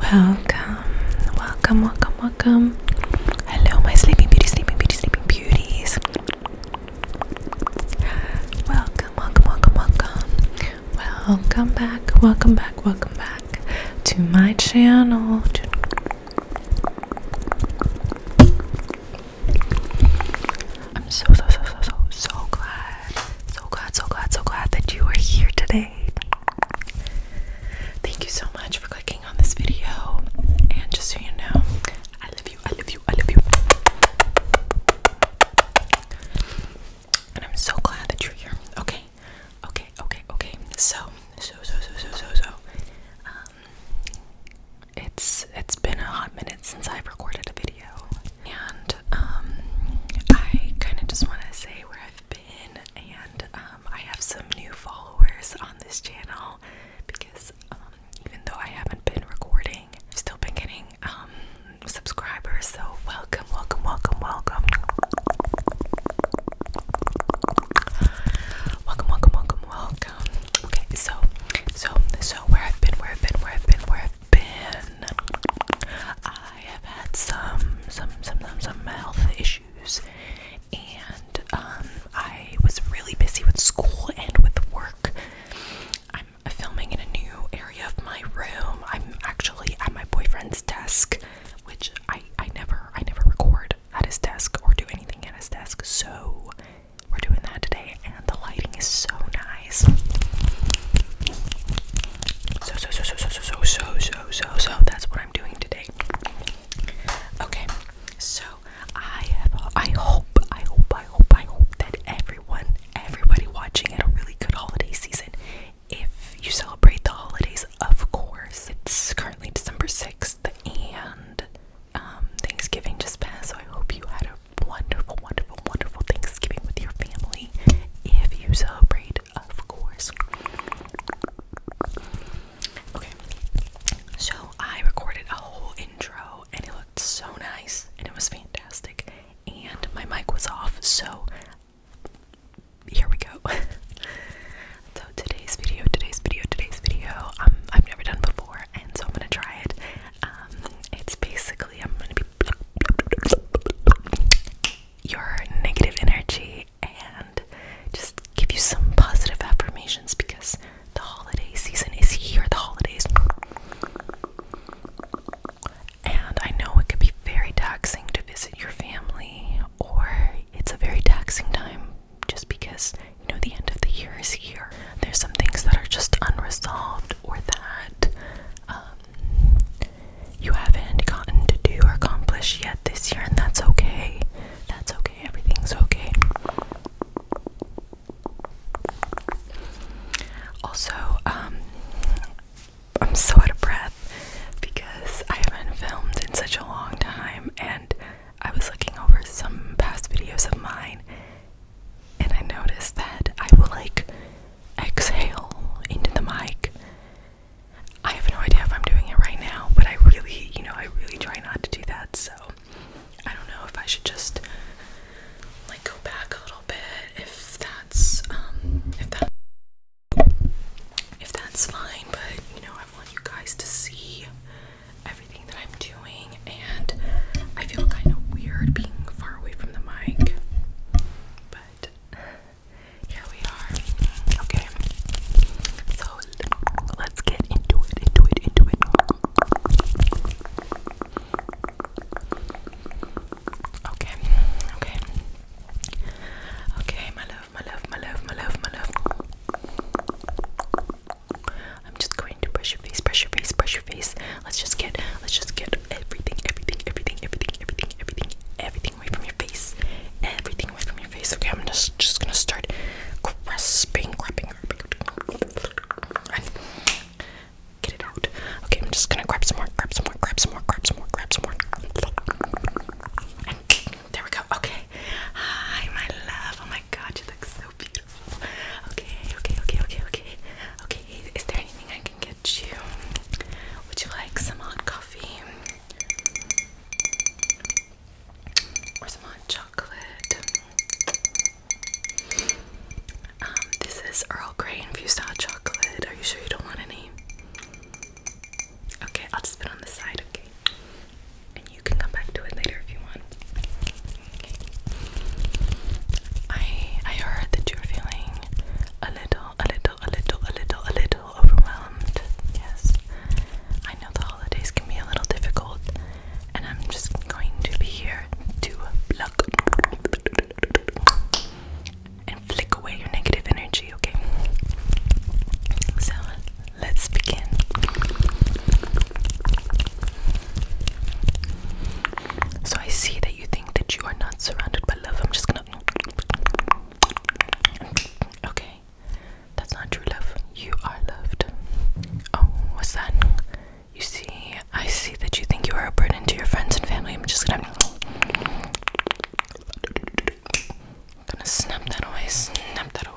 Welcome, welcome, welcome, welcome. Hello, my sleeping beauty, sleeping beauty, sleeping beauties. Welcome, welcome, welcome, welcome. Welcome back, welcome back, welcome back to my channel. I'm so so so so so so glad, so glad, so glad, so glad that you are here today. Thank you so much for clicking on this video. And just so you know, I love you, I love you, I love you. And I'm so glad that you're here. Okay, okay, okay, okay. So, so, so, so, so, so, so. Um, it's it's been a hot minute since I've recorded a video video. And um, I kind of just want to say where I've been, and um, I have some new followers on this channel because um, even though I haven't been recording, I've still been getting um, subscribers. So welcome, welcome, welcome, welcome. Welcome, welcome, welcome, welcome. Okay, so, so, so, where I've been, where I've been, where I've been, where I've I have had some some some some, some health issues, and um, I was really busy with school and with work. I'm filming in a new area of my room. I'm actually at my boyfriend's desk, which I I never I never record at his desk or do anything at his desk. So we're doing that today, and the lighting is so nice. So, so, so, so, so, so, so, so, so, so, so, that's what I'm doing today. Okay, so I have, I hope, I hope, I hope, I hope that everyone, everybody watching had a really good holiday season. If you celebrate the holidays, of course, it's currently December 6th and um, Thanksgiving just passed, so I hope you had a wonderful, wonderful, wonderful Thanksgiving with your family if you celebrate, of course. Okay, so I recorded a whole intro and it looked so nice and it was fantastic, and my mic was off, so here we go. so today's video, today's video, today's video, um, I've never done before, and so I'm gonna try it. Um, it's basically I'm gonna be your negative energy and just give you some positive affirmations because the holiday season is here, the holidays. And I know it can be very taxing to visit your family, or it's a very taxing time just because you know the end of the year is here there's some things that are just unresolved or that um, you haven't gotten to do or accomplish yet this year, and that's okay. That's okay, everything's okay. Also, um, I'm so out of breath because I haven't filmed in such a long time, and I was looking over some past videos of mine, and I notice that I will like exhale into the mic. I have no idea if I'm doing it right now, but I really, you know, I really try not to do that, so I don't know if I should just like go back a little bit if that's um if that if that's fine, but you know, I want you guys to see everything that I'm doing, and I feel kind of weird being far away from the mic. But here we are. Okay. So let's get into it, into it, into it. Okay, okay. Okay, my love, my love, my love, my love, my love. I'm just going to brush your face, brush your face, brush your face. Let's just get, let's just get everything, everything, everything, everything, everything, everything, everything away from your face. Everything away from your face. Okay, I'm just just gonna start grasping, grabbing, get it out. Okay, I'm just gonna grab some more, grab some more, grab some more, grab some more, grab some more. And there we go. Okay. Hi, my love. Oh my my god, you look so beautiful. Okay, okay, okay, okay, okay. Okay, is there anything I can get you? Would you like some hot coffee? Or some hot chocolate? Um, this is Earl Grey infused hot chocolate. Are you sure you don't want any? Okay, I'll just put it on the side, okay? and you can come back to it later if you want. I I heard that you're feeling a little, a little, a little, a little, a little overwhelmed. Yes. I know the holidays can be a little difficult, and I'm just going to be here to pluck and flick away your negative energy, okay? So let's begin. So I see that you think that you are not surrounded by love. I'm just gonna. Okay, that's not true love. You are loved. Oh, what's that? You see, I see that you think you are a burden to your friends and family. I'm just gonna. gonna snap that away, snap that away,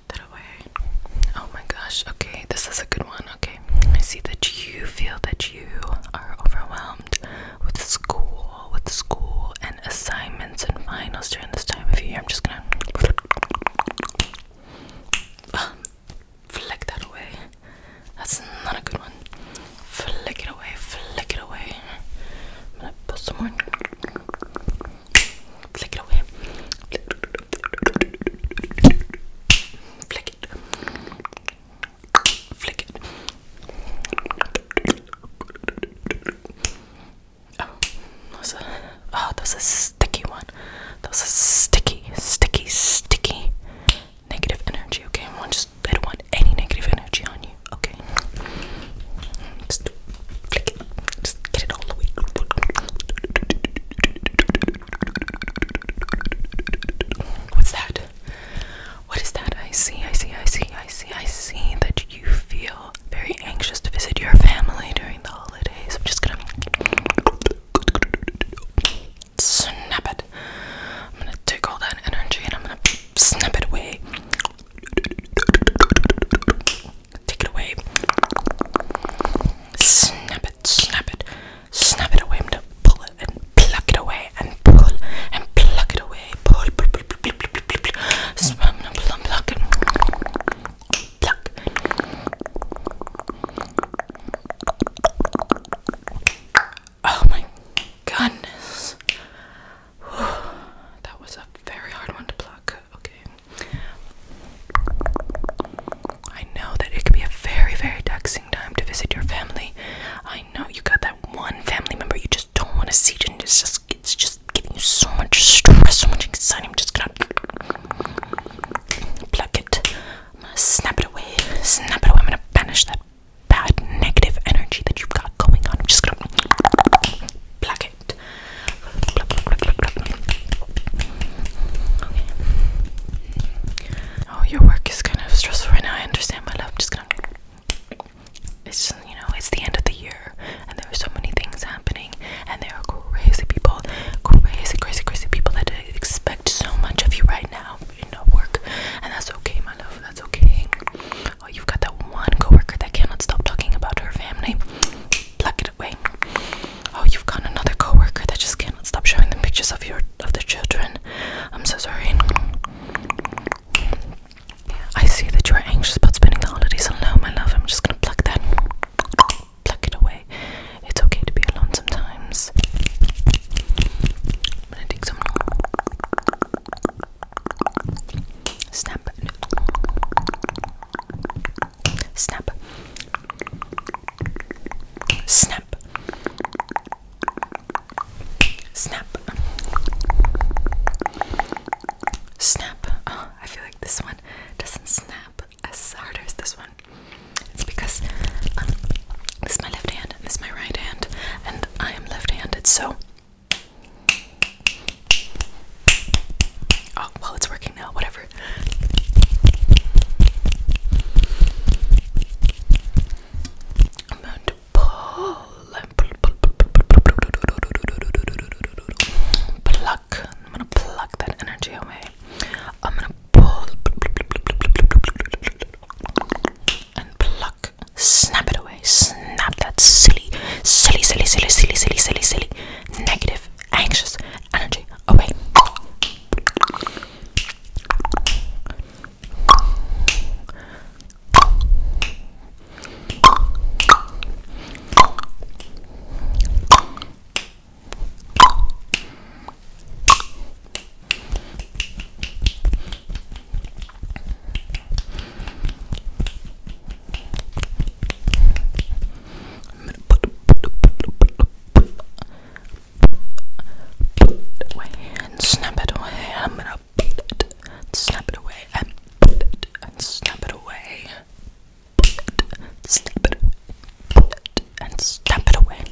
put that away. Oh my gosh, okay, this is a good one. Okay, I see that you feel that you are overwhelmed with school, with school and assignments and finals during this time of year. I'm just gonna um, flick that away. That's not a good one. Flick it away, flick it away. I'm gonna put some more. Flick it away. Flick, Flick it. Flick it. Oh, that was a, oh, that a sticky one. That was a sticky, sticky, sticky negative energy. Okay, I don't want any negative energy on you. Okay. What's that? What is that? I see, I see, I see, I see, I see that you feel very anxious to visit your family during the holidays. I'm just gonna snap it. I'm gonna take all that energy and I'm gonna snap it away. Take it away. Snap it, snap it, snap it away. I'm gonna pull it and pluck it away and pull and pluck it away. Pull, pull, pull, pull, pull, pull, pull, pull. So I'm gonna plum, pluck it. Pluck. Oh my goodness. Whew. That was a very hard one to pluck. Okay. I know that it can be a very, very taxing time to visit your family. I know you got that one family member you just don't want to see, and it's just it's just giving you so much stress, so much anxiety. I'm just gonna plug it, I'm gonna snap it away, snap it away. I'm gonna banish that bad negative energy that you've got going on. I'm just gonna plug it. Oh, your work is kind of stressful right now. I understand, my love. Just gonna. It's you know, it's the end of the year, and there are so many things happening, and there are crazy people, crazy, crazy, crazy people that expect so much of you right now in your work, and that's okay, my love. That's okay. Oh, you've got that one coworker that cannot stop talking about her family. Pluck it away. Oh, you've got another coworker that just cannot stop showing them pictures of your of the children. I'm so sorry. I see that you are anxious about spending the holidays alone, my love. I'm just gonna pluck that. Pluck it away. It's okay to be alone sometimes. Snap. Snap. Snap. Snap. Snap. Oh, I feel like this one doesn't snap as hard as this one. It's because um, this is my left hand and this is my right hand, and I am left handed, so Oh, well, it's working now, whatever. I'm going to pull and pluck. I'm going to pluck that energy away. I'm going to pull and pluck, snap it away. Not that silly, silly, silly, silly, silly, silly, silly, silly, negative, anxious energy away. I'm gonna put, put, away and snap it away. I'm gonna snap it away, and snap it away. snap it, and snap it away.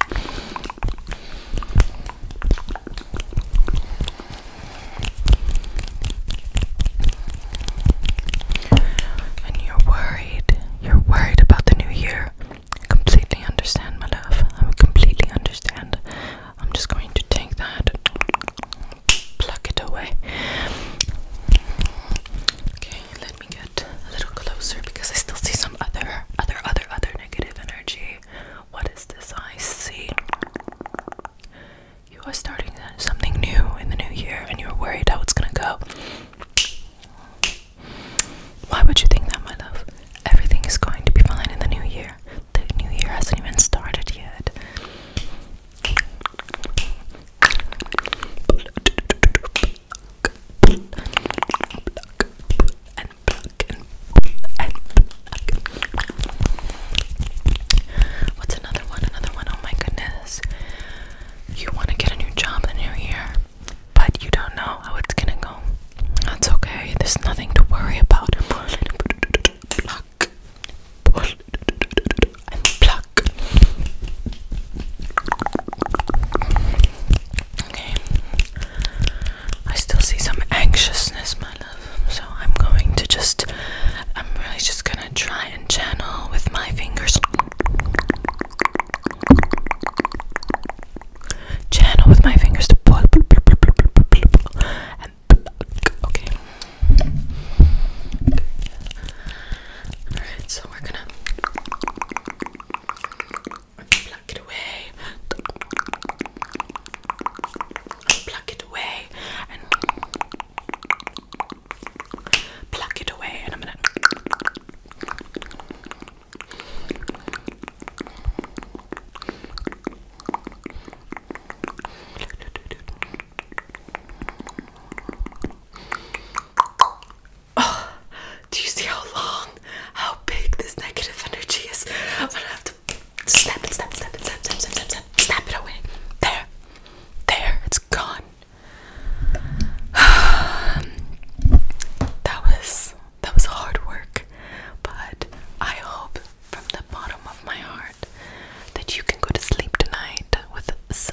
And you're worried. You're worried about the new year. I completely understand, my love. I completely understand. I'm just going to take that pluck it away. Okay, let me get a little closer because I still see some other, other, other, other negative energy. What is this I see? you are starting something new in the new year and you're worried how it's gonna go. Why would you think that, my love? Everything is going to be fine in the new year. The new year hasn't even started yet. What's another one? Another one. Oh my goodness. You want to get a new job in the new year, but you don't know how it's gonna go. That's okay. There's nothing to worry about. Pluck. pluck. Okay. I still see some anxiousness my love. So I'm going to just, I'm really just gonna try and channel with my fingers. Channel with my fingers to pull. And okay. Alright, so we're gonna pluck it away. Pluck it away and pluck it away and I'm gonna Oh, do you see how long, how big this negative energy is? I'm gonna have Snap it. Snap it, snap, snap it, snap, it, snap, it, snap, it away. There. There, it's gone. that was that was hard work, but I hope from the bottom of my heart that you can go to sleep tonight with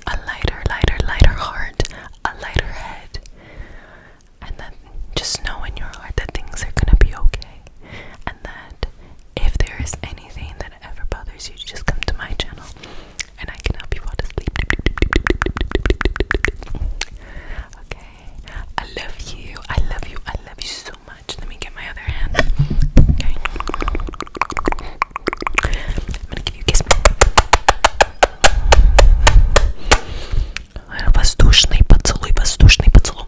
a lighter, lighter, lighter heart, a lighter head, and then just know in your heart that things are gonna be okay, that if there is anything that ever bothers you, just come to my channel and I can help you fall asleep. Okay, I love you. I love you. I love you so much. Let me get my other hand. Okay, I'm gonna give you a kiss. Воздушный поцелуй, воздушный поцелуй.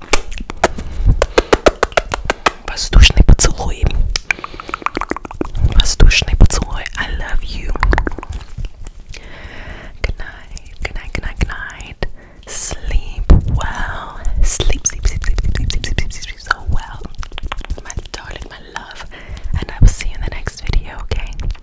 Воздушный поцелуй. I love you. Good night, good night, Sleep well. sleep, sleep, sleep, sleep, sleep, sleep, sleep, sleep so well. My darling, my love. And I will see you in the next video, okay?